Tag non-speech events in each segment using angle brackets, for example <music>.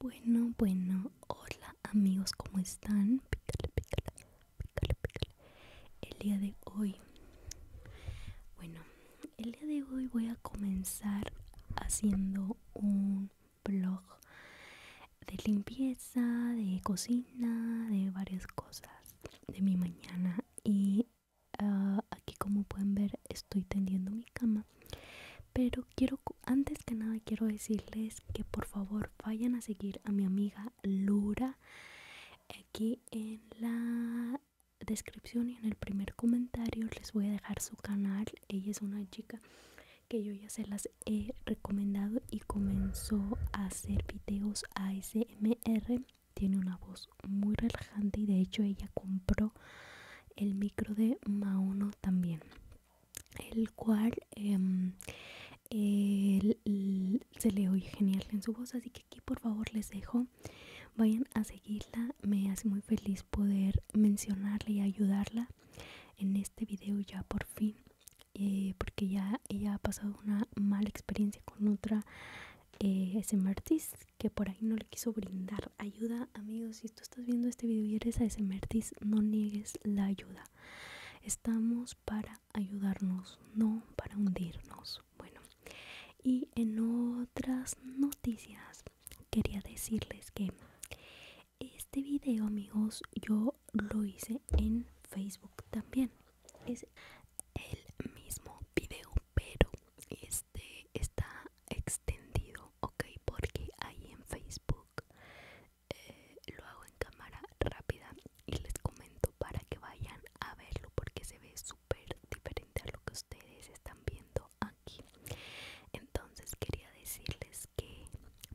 Bueno, bueno, hola amigos, ¿cómo están? El día de hoy, bueno, el día de hoy voy a comenzar haciendo un blog de limpieza, de cocina, de varias cosas de mi mañana. Y ah, aquí como pueden ver estoy tendiendo mi cama. Pero quiero, antes que nada quiero decirles que por favor vayan a seguir a mi amiga Lura. Aquí en la descripción y en el primer comentario les voy a dejar su canal. Ella es una chica que yo ya se las he recomendado y comenzó a hacer videos ASMR tiene una voz muy relajante y de hecho ella compró el micro de Mauno también el cual em, se le oye genial en su voz así que aquí por favor les dejo vayan a seguirla me hace muy feliz poder mencionarla y ayudarla en este video ya por fin eh, porque ya ella ha pasado una mala experiencia con otra eh, que por ahí no le quiso brindar ayuda. Amigos, si tú estás viendo este video y eres a artist, no niegues la ayuda. Estamos para ayudarnos, no para hundirnos. Bueno, y en otras noticias, quería decirles que este video, amigos, yo lo hice en Facebook también. Es el mismo video, pero este está extendido, ¿ok? Porque ahí en Facebook eh, lo hago en cámara rápida y les comento para que vayan a verlo porque se ve súper diferente a lo que ustedes están viendo aquí. Entonces quería decirles que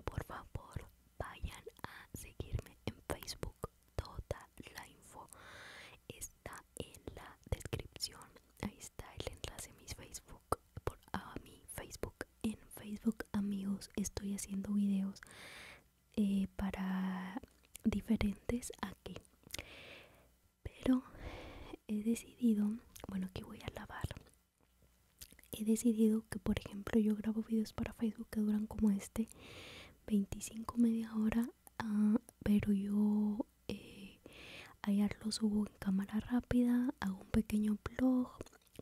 por favor vayan a seguirme en Facebook toda la info está en la descripción ahí está el enlace a mis Facebook por a mi Facebook en Facebook amigos estoy haciendo videos eh, para diferentes aquí pero he decidido bueno que voy a lavar he decidido que por ejemplo yo grabo videos para Facebook que duran como este 25 media hora ah, pero yo eh, ayer lo subo en cámara rápida hago un pequeño blog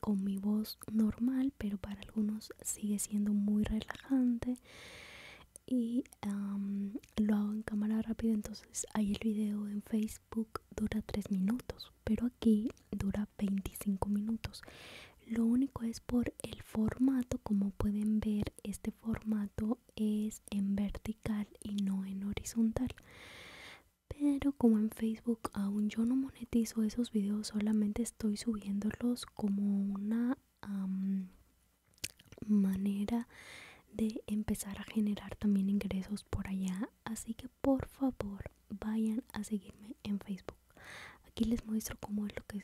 con mi voz normal pero para algunos sigue siendo muy relajante y lo hago en cámara rápida entonces hay el video en facebook dura tres minutos, pero aquí dura 25 minutos. Lo único es por el formato, como pueden ver, este formato es en vertical y no en horizontal. Pero como en Facebook aún yo no monetizo esos videos, solamente estoy subiéndolos como una manera de empezar a generar también ingresos por allá. Así que por favor vayan a seguirme en Facebook. Aquí les muestro cómo es lo que,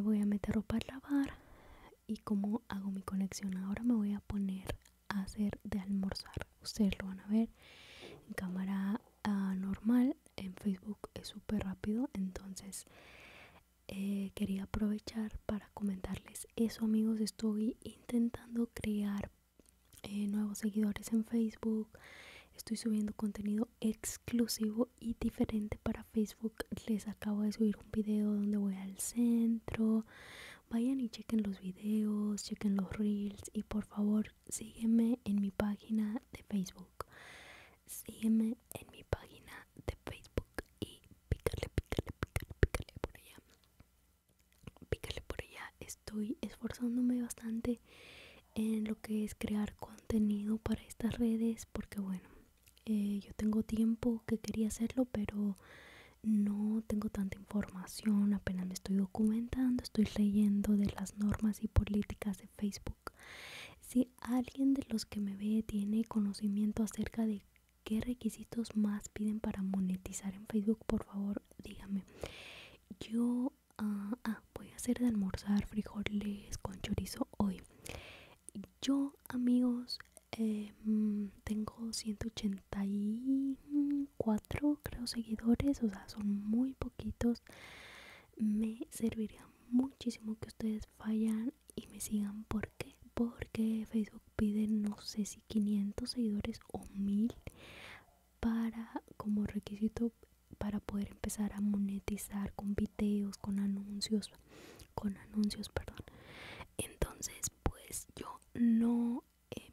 voy a meter ropa a lavar y cómo hago mi conexión. Ahora me voy a poner a hacer de almorzar. Ustedes lo van a ver en cámara ah, normal. En Facebook es súper rápido. Entonces eh, quería aprovechar para comentarles eso amigos. Estoy intentando crear eh, nuevos seguidores en Facebook. Estoy subiendo contenido exclusivo y diferente para Facebook. Les acabo de subir un video donde voy al centro. Vayan y chequen los videos, chequen los reels y por favor sígueme en mi página de Facebook. Sígueme en mi página de Facebook y pícale, pícale, pícale, pícale por allá pícale por allá estoy esforzándome bastante en lo que es crear contenido para estas redes porque bueno eh, yo tengo tiempo que quería hacerlo pero no tengo tanta información apenas me estoy documentando estoy leyendo de las normas y políticas de facebook si alguien de los que me ve tiene conocimiento acerca de qué requisitos más piden para monetizar en facebook por favor dígame yo ah, ah, voy a hacer de almorzar frijoles con chorizo hoy yo amigos eh, mm, tengo 184 creo seguidores o sea son muy poquitos me serviría muchísimo que ustedes vayan y me sigan porque porque Facebook piden no sé si 500 seguidores o 1000 para como requisito para poder empezar a monetizar con videos, con anuncios, con anuncios, perdón. Entonces, pues yo no em,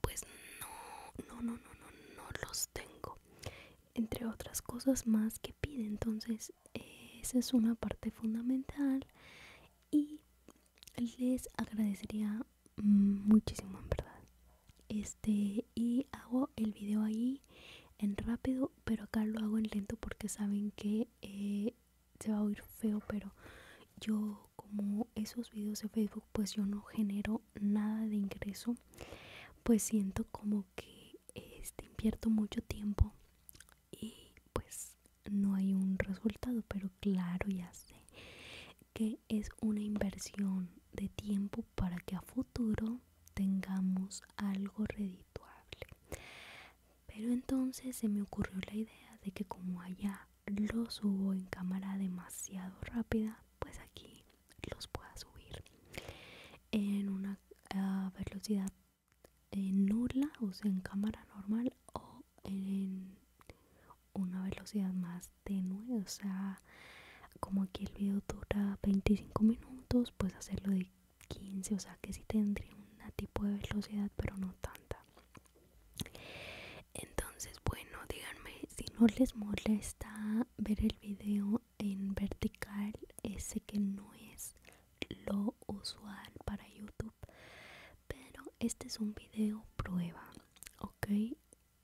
pues no no no no no no los tengo. Entre otras cosas más que pide, entonces eh, esa es una parte fundamental y les agradecería muchísimo en verdad este y hago el video ahí en rápido pero acá lo hago en lento porque saben que eh, se va a oír feo pero yo como esos videos de facebook pues yo no genero nada de ingreso pues siento como que este, invierto mucho tiempo y pues no hay un resultado, pero claro, ya sé que es una inversión de tiempo para que a futuro tengamos algo redituable. Pero entonces se me ocurrió la idea de que como allá los subo en cámara demasiado rápida, pues aquí los pueda subir en una ah, velocidad eh, nula, o sea, en cámara normal o en una velocidad más tenue o sea como aquí el video dura 25 minutos pues hacerlo de 15 o sea que sí tendría una tipo de velocidad pero no tanta entonces bueno díganme si no les molesta ver el video en vertical ese que no es lo usual para youtube pero este es un video prueba ok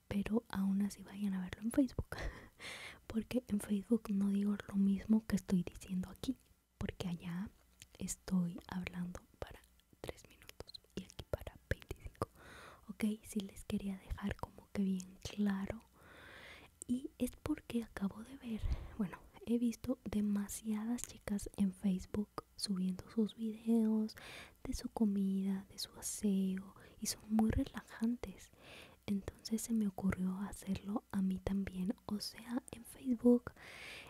pero aún así vayan a verlo en facebook <laughs> porque en facebook no digo lo mismo que estoy diciendo aquí porque allá estoy hablando para 3 minutos y aquí para 25 ok si les quería dejar como que bien claro y es porque acabo de ver bueno he visto demasiadas chicas en facebook subiendo sus videos de su comida, de su aseo y son muy relajantes. Entonces se me ocurrió hacerlo a mí también. O sea, en Facebook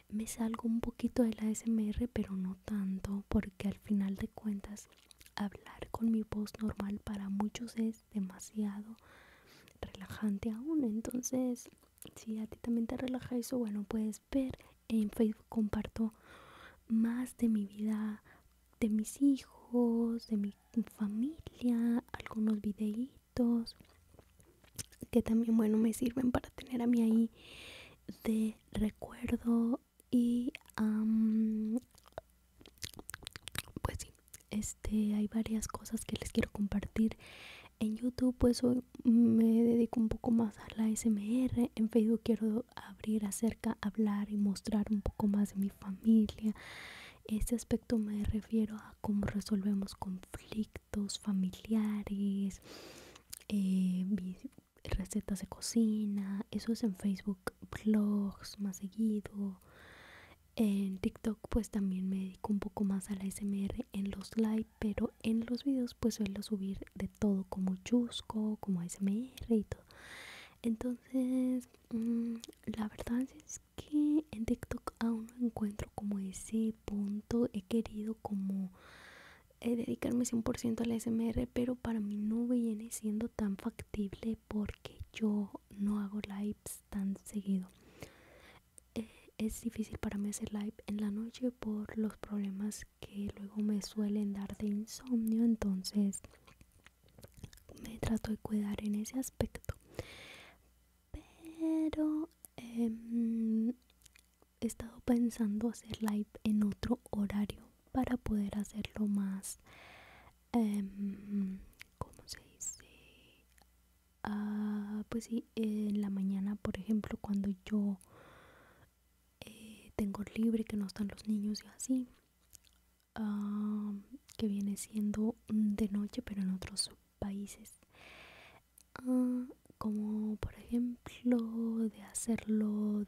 me salgo un poquito de la SMR, pero no tanto, porque al final de cuentas hablar con mi voz normal para muchos es demasiado relajante aún. Entonces si a ti también te relaja eso, bueno, puedes ver. En Facebook comparto más de mi vida, de mis hijos, de mi familia, algunos videitos que también, bueno, me sirven para tener a mí ahí de recuerdo y pues sí, este, hay varias cosas que les quiero compartir en YouTube pues me dedico un poco más a la SMR. En Facebook quiero abrir acerca, hablar y mostrar un poco más de mi familia. Este aspecto me refiero a cómo resolvemos conflictos familiares, eh, recetas de cocina. Eso es en Facebook, blogs más seguido. En TikTok pues también me dedico un poco más a la SMR en los likes pero en los vídeos pues suelo subir de todo como chusco, como smr y todo. Entonces, mm, la verdad es que en TikTok aún no encuentro como ese punto. He querido como eh, dedicarme 100% al smr pero para mí no viene siendo tan factible porque yo no hago lives tan seguido es difícil para mí hacer live en la noche por los problemas que luego me suelen dar de insomnio. Entonces me trato de cuidar en ese aspecto. Pero em, he estado pensando hacer live en otro horario para poder hacerlo más, eh, ¿cómo se dice? Ah, pues sí, en la mañana, por ejemplo, cuando yo eh, tengo libre, que no están los niños y así, que viene siendo de noche, pero en otros países. Ah, como por ejemplo de hacerlo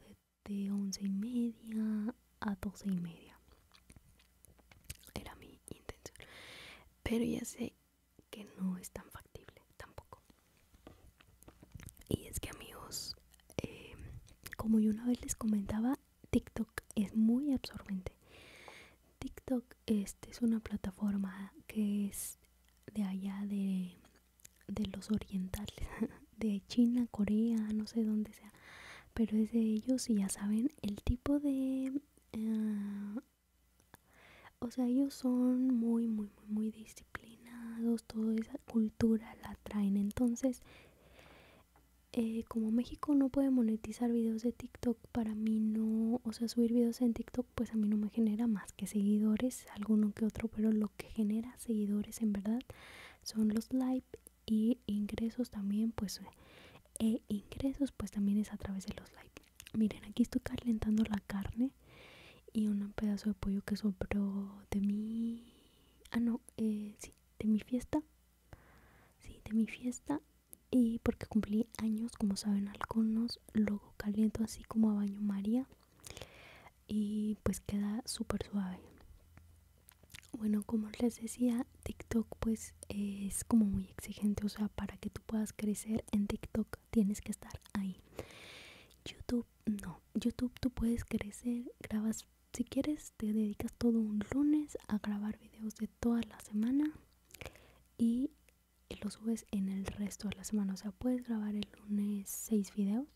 de once y media a doce y media era mi intención pero ya sé que no es tan factible tampoco. Y es que amigos, eh, como yo una vez les comentaba, TikTok es muy absorbente. TikTok este, es una plataforma que es de allá de, los orientales, <laughs> de China, Corea, no sé dónde sea, pero es de ellos y ya saben el tipo de eh, o sea, ellos son muy, muy, muy, disciplinados, toda esa cultura la traen. Entonces, eh, como México no puede monetizar videos de TikTok, para mí no, o sea, subir videos en TikTok, pues a mí no me genera más que seguidores, alguno que otro, pero lo que genera seguidores en verdad son los likes y ingresos también, pues e ingresos pues también es a través de los likes miren aquí estoy calentando la carne y un pedazo de pollo que sobró de mi ah no eh, sí de mi fiesta sí de mi fiesta y porque cumplí años como saben algunos luego caliento así como a baño maría y pues queda súper suave bueno como les decía tiktok pues es, como muy exigente, o sea, para que tú puedas crecer en TikTok tienes que estar ahí. YouTube, no, YouTube tú puedes crecer, grabas, si quieres, te dedicas todo un lunes a grabar videos de toda la semana y los subes en el resto de la semana, o sea, puedes grabar el lunes 6 videos,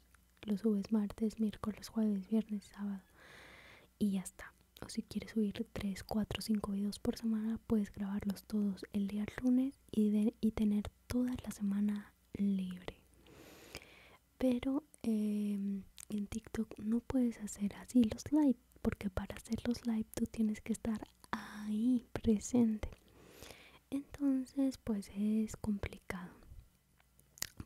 lo subes martes, miércoles, jueves, viernes, sábado y ya está o si quieres subir 3, 4, 5 videos por semana, puedes grabarlos todos el día lunes y, de, y tener toda la semana libre. Pero em, en TikTok no puedes hacer así los live, porque para hacer los live tú tienes que estar ahí presente. Entonces, pues es complicado.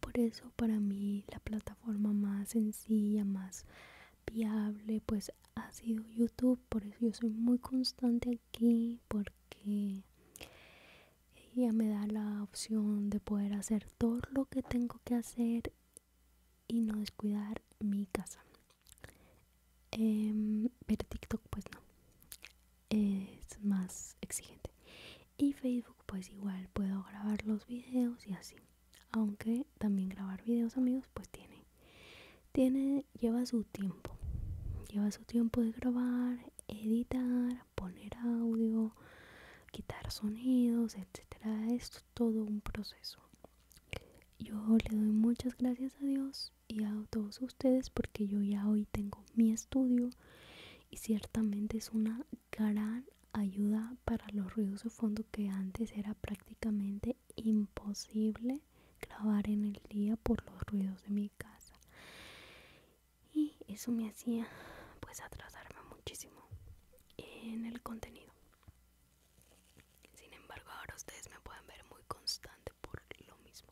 Por eso para mí la plataforma más sencilla, más viable pues ha sido YouTube por eso yo soy muy constante aquí porque ella me da la opción de poder hacer todo lo que tengo que hacer y no descuidar mi casa em, pero TikTok pues no es más exigente y Facebook pues igual puedo grabar los videos y así aunque también grabar videos amigos pues tiene tiene lleva su tiempo lleva su tiempo de grabar editar poner audio quitar sonidos etcétera es todo un proceso yo le doy muchas gracias a Dios y a todos ustedes porque yo ya hoy tengo mi estudio y ciertamente es una gran ayuda para los ruidos de fondo que antes era prácticamente imposible grabar en el día por los ruidos de mi casa y eso me hacía pues atrasarme muchísimo en el contenido sin embargo ahora ustedes me pueden ver muy constante por lo mismo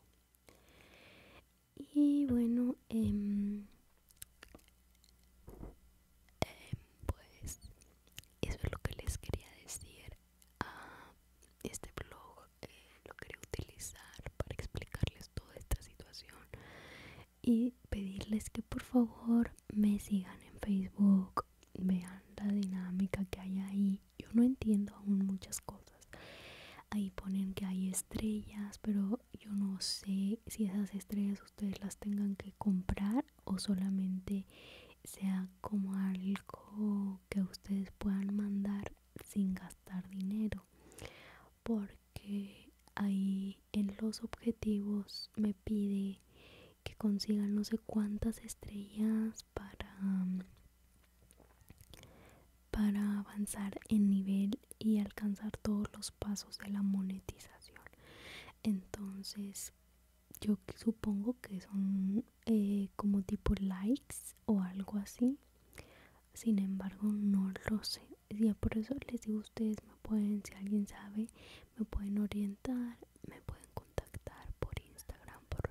y bueno em, Em, pues eso es lo que les quería decir a ah, este blog eh, lo quería utilizar para explicarles toda esta situación y pedirles que por favor me sigan en Facebook vean la dinámica que hay ahí yo no entiendo aún muchas cosas ahí ponen que hay estrellas pero yo no sé si esas estrellas ustedes las tengan que comprar o solamente sea como algo que ustedes puedan mandar sin gastar dinero porque ahí en los objetivos me pide que consigan no sé cuántas estrellas para mm, para avanzar en nivel y alcanzar todos los pasos de la monetización entonces yo supongo que son eh, como tipo likes o algo así. Sin embargo, no lo sé. Ya por eso les digo, ustedes me pueden, si alguien sabe, me pueden orientar, me pueden contactar por Instagram, por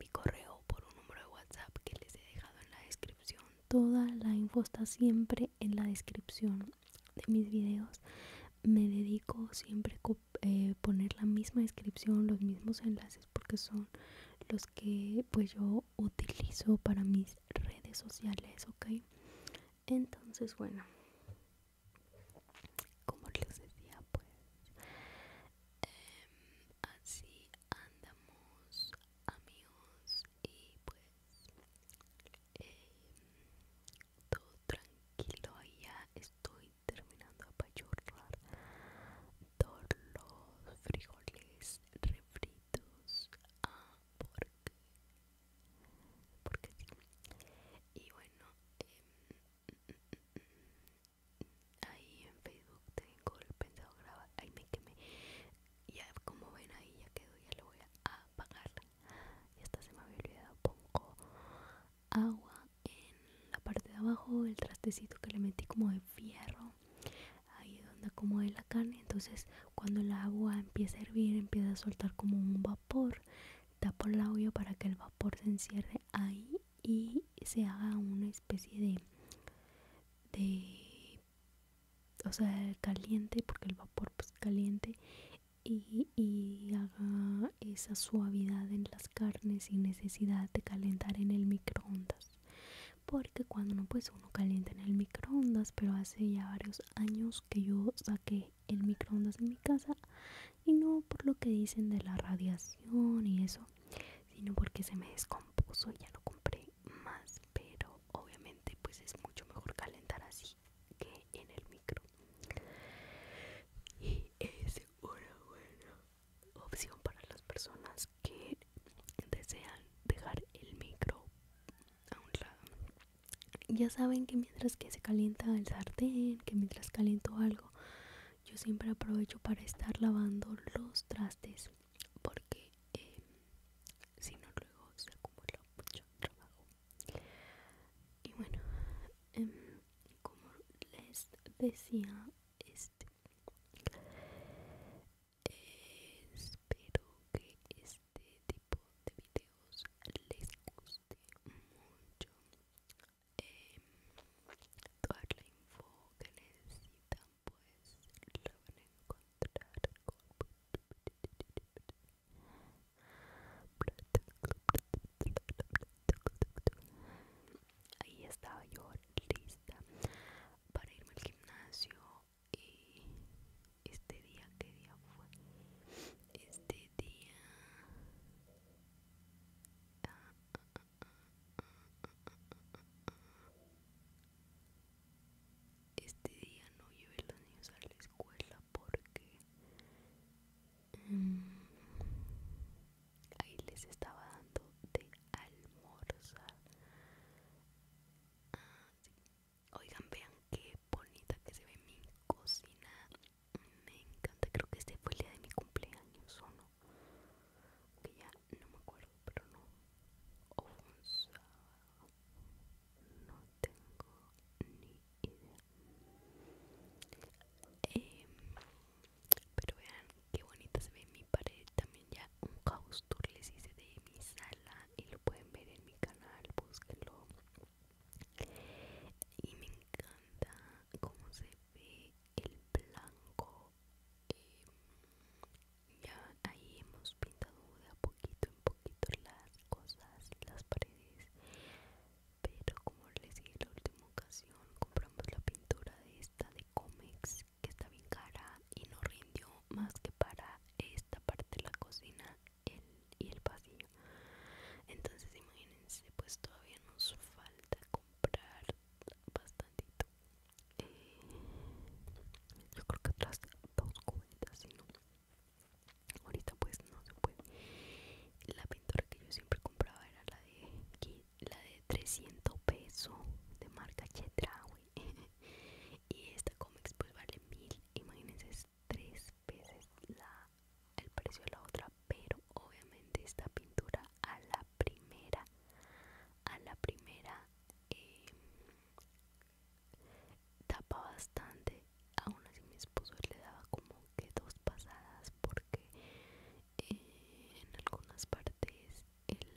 mi correo, por un número de WhatsApp que les he dejado en la descripción. Toda la info está siempre en la descripción de mis videos me dedico siempre a eh, poner la misma descripción, los mismos enlaces porque son los que pues yo utilizo para mis redes sociales, ok. Entonces, bueno, como les decía, pues em, así andamos amigos y pues eh, todo tranquilo ya estoy terminando de apachurrar todos los frijoles refritos ah, porque porque sí y bueno em, ahí en facebook tengo el pensado grabar ahí me quemé ya como ven ahí ya quedó ya lo voy a apagar y esta se me había olvidado pongo agua en la parte de abajo el trastecito que le metí como de fierro ahí donde de la carne entonces cuando el agua empieza a hervir empieza a soltar como un vapor tapo el audio para que el vapor se encierre ahí y se haga una especie de de o sea caliente porque el vapor pues caliente y, haga esa suavidad en las carnes sin necesidad de calentar en el microondas porque cuando no pues uno calienta en el microondas pero hace ya varios años que yo saqué el microondas en mi casa y no por lo que dicen de la radiación y eso sino porque se me descompuso ya no compré más pero obviamente pues es mucho mejor calentar así que en el microondas y es una buena opción para las personas que desean dejar el micro a un lado ya saben que mientras que se calienta el sartén que mientras caliento algo yo siempre aprovecho para estar lavando los trastes porque eh, si no luego se acumula mucho trabajo y bueno em, como les decía este espero que este tipo de videos les guste mucho em, toda la info que necesitan pues lo van a encontrar Ahí estaba yo lista para irme al gimnasio y este día, ¿qué día fue? Este día... Este día no llevé los niños a la escuela porque mm, ahí les estaba dando de almorzar ah, oigan vean qué bonita que se ve mi cocina me encanta creo que este fue el día de mi cumpleaños o no que ya no me acuerdo pero no sábado no tengo ni idea eh, pero vean qué bonita se ve mi pared también ya un house tour les hice de mi sala y lo pueden ver en mi canal búsquenlo y me encanta cómo se ve el blanco eh, ya ahí hemos pintado poquito en poquito las cosas, las paredes. Pero como les dije la última ocasión, compramos la pintura de esta de comex que está bien cara y no rindió más que para esta parte de la cocina y el pasillo. Entonces imagínense, pues todavía nos falta comprar bastantito. Eh, yo creo que otras dos cubetas, si no ahorita pues no se puede la pintura que yo siempre compraba era la de la de 300 pesos de marca Chedraui <laughs> y esta cómics pues vale mil imagínense es tres veces la el precio de la otra pero obviamente esta pintura a la primera a la primera eh, tapa bastante aún así mi esposo le daba como que dos pasadas porque eh, en algunas partes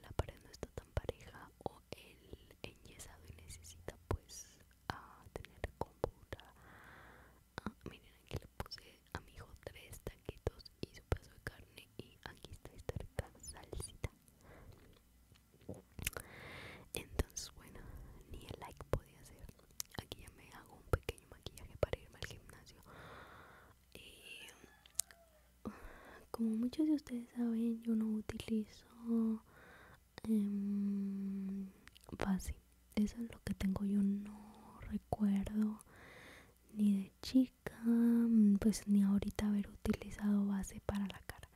la pared no está tan pareja o el enyesado y necesita pues a tener compura miren aquí le puse a mi hijo tres taquitos y su paso de carne y aquí está esta rica salsita entonces, bueno, ni el like podía hacer. Aquí ya me hago un pequeño maquillaje para irme al gimnasio. Y como muchos de ustedes saben, yo no utilizo em, base. Eso es lo que tengo. Yo no recuerdo ni de chica, pues ni ahorita haber utilizado base para la cara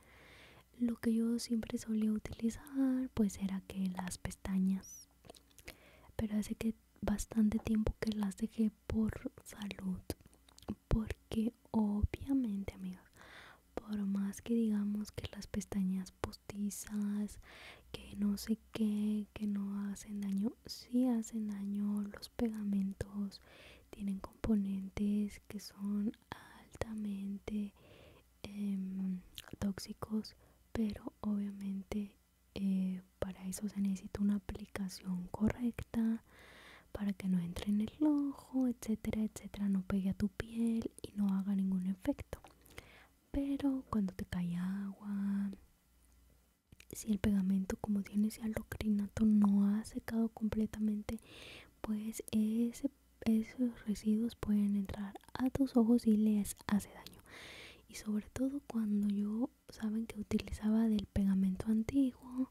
lo que yo siempre solía utilizar pues era que las pestañas pero hace que bastante tiempo que las dejé por salud porque obviamente amigos por más que digamos que las pestañas postizas que no sé qué que no hacen daño si hacen daño los pegamentos tienen componentes que son altamente em, tóxicos pero obviamente eh, para eso se necesita una aplicación correcta para que no entre en el ojo etcétera etcétera no pegue a tu piel y no haga ningún efecto pero cuando te cae agua si el pegamento como tiene ese alocrinato no ha secado completamente pues esos residuos pueden entrar a tus ojos y les hace daño. Y sobre todo cuando yo, saben que utilizaba del pegamento antiguo,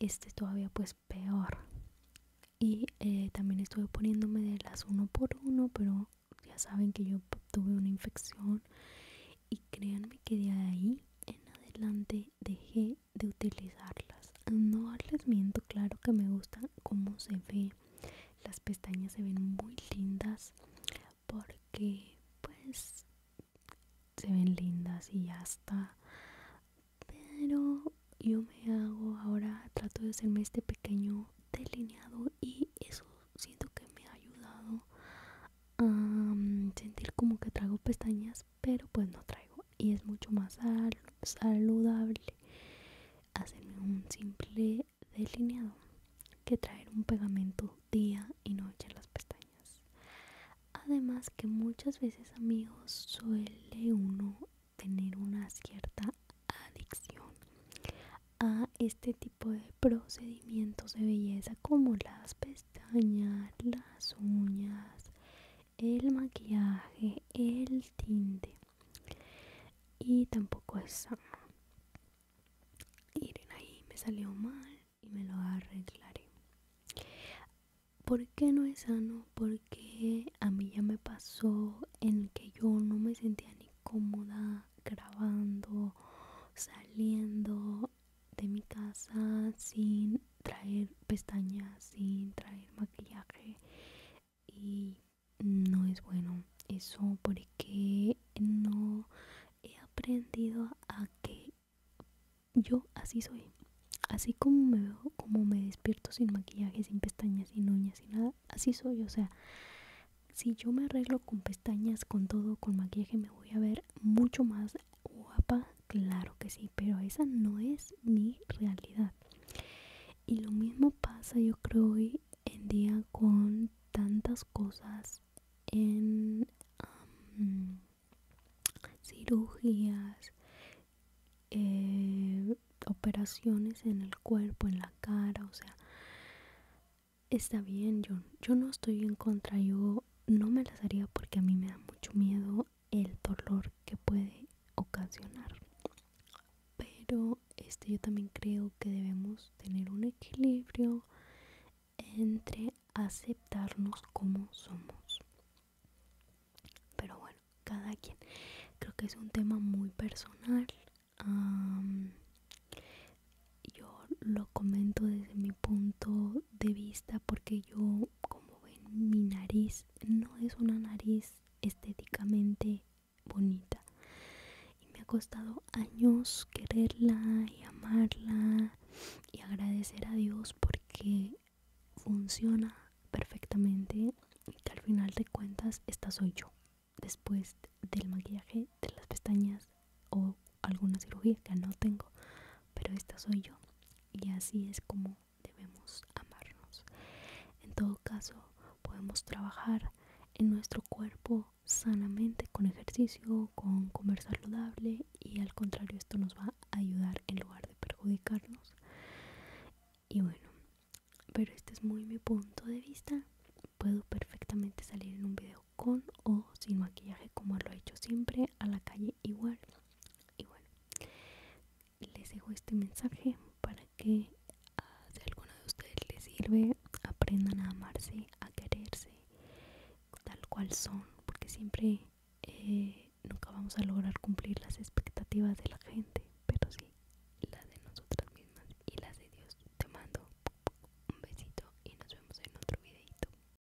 este todavía pues peor. Y eh, también estuve poniéndome de las uno por uno, pero ya saben que yo tuve una infección. Y créanme que de ahí en adelante dejé de, utilizarlas no les miento claro que me gusta cómo se ve las pestañas se ven muy lindas porque pues se ven lindas y ya está pero yo me hago ahora trato de hacerme este pequeño delineado y eso siento que me ha ayudado a mm, sentir como que traigo pestañas pero pues no traigo y es mucho más saludable hacerme un simple delineado que traer un pegamento día y noche en las pestañas además que muchas veces amigos suele uno tener una cierta adicción a este tipo de procedimientos de belleza como las pestañas, las uñas, el maquillaje, el tinte y tampoco es sano. Miren ahí, me salió mal y me lo arreglaré. porque no es sano? Porque a mí ya me pasó en que yo no me sentía ni cómoda grabando, saliendo de mi casa sin traer pestañas, sin traer maquillaje y no es bueno eso porque no he aprendido a que yo así soy. Así como me como me despierto sin maquillaje, sin pestañas, sin uñas, y nada, así soy. O sea, si yo me arreglo con pestañas, con todo, con maquillaje, me voy a ver mucho más guapa, claro que sí, pero esa no es mi realidad. Y lo mismo pasa yo creo hoy en día con tantas cosas en cirugías, eh, operaciones en el cuerpo, en la cara, o sea, está bien, yo, yo no estoy en contra, yo no me las haría porque a mí me da mucho miedo el dolor que puede ocasionar. Pero este yo también creo que debemos tener un equilibrio entre aceptarnos como somos. Pero bueno, cada quien. Creo que es un tema muy personal. yo lo comento desde mi punto de vista porque yo como, ven mi nariz no es una nariz estéticamente bonita y me ha costado años quererla y amarla y agradecer a Dios porque funciona perfectamente y que al final de cuentas esta soy yo después del maquillaje de las pestañas o alguna cirugía que no tengo, pero esta soy yo y así es como debemos amarnos. En todo caso, podemos trabajar en nuestro cuerpo sanamente con ejercicio, con comer saludable y al contrario esto nos va a ayudar en lugar de perjudicarnos. Y bueno, pero este es muy mi punto de vista. Puedo perfectamente salir en un video con o sin maquillaje como lo he hecho siempre a la calle igual igual les dejo este mensaje para que ah, si a alguno de ustedes les sirve aprendan a amarse a quererse tal cual son porque siempre eh, nunca vamos a lograr cumplir las expectativas de la gente pero sí las de nosotras mismas y las de Dios te mando un besito y nos vemos en otro videito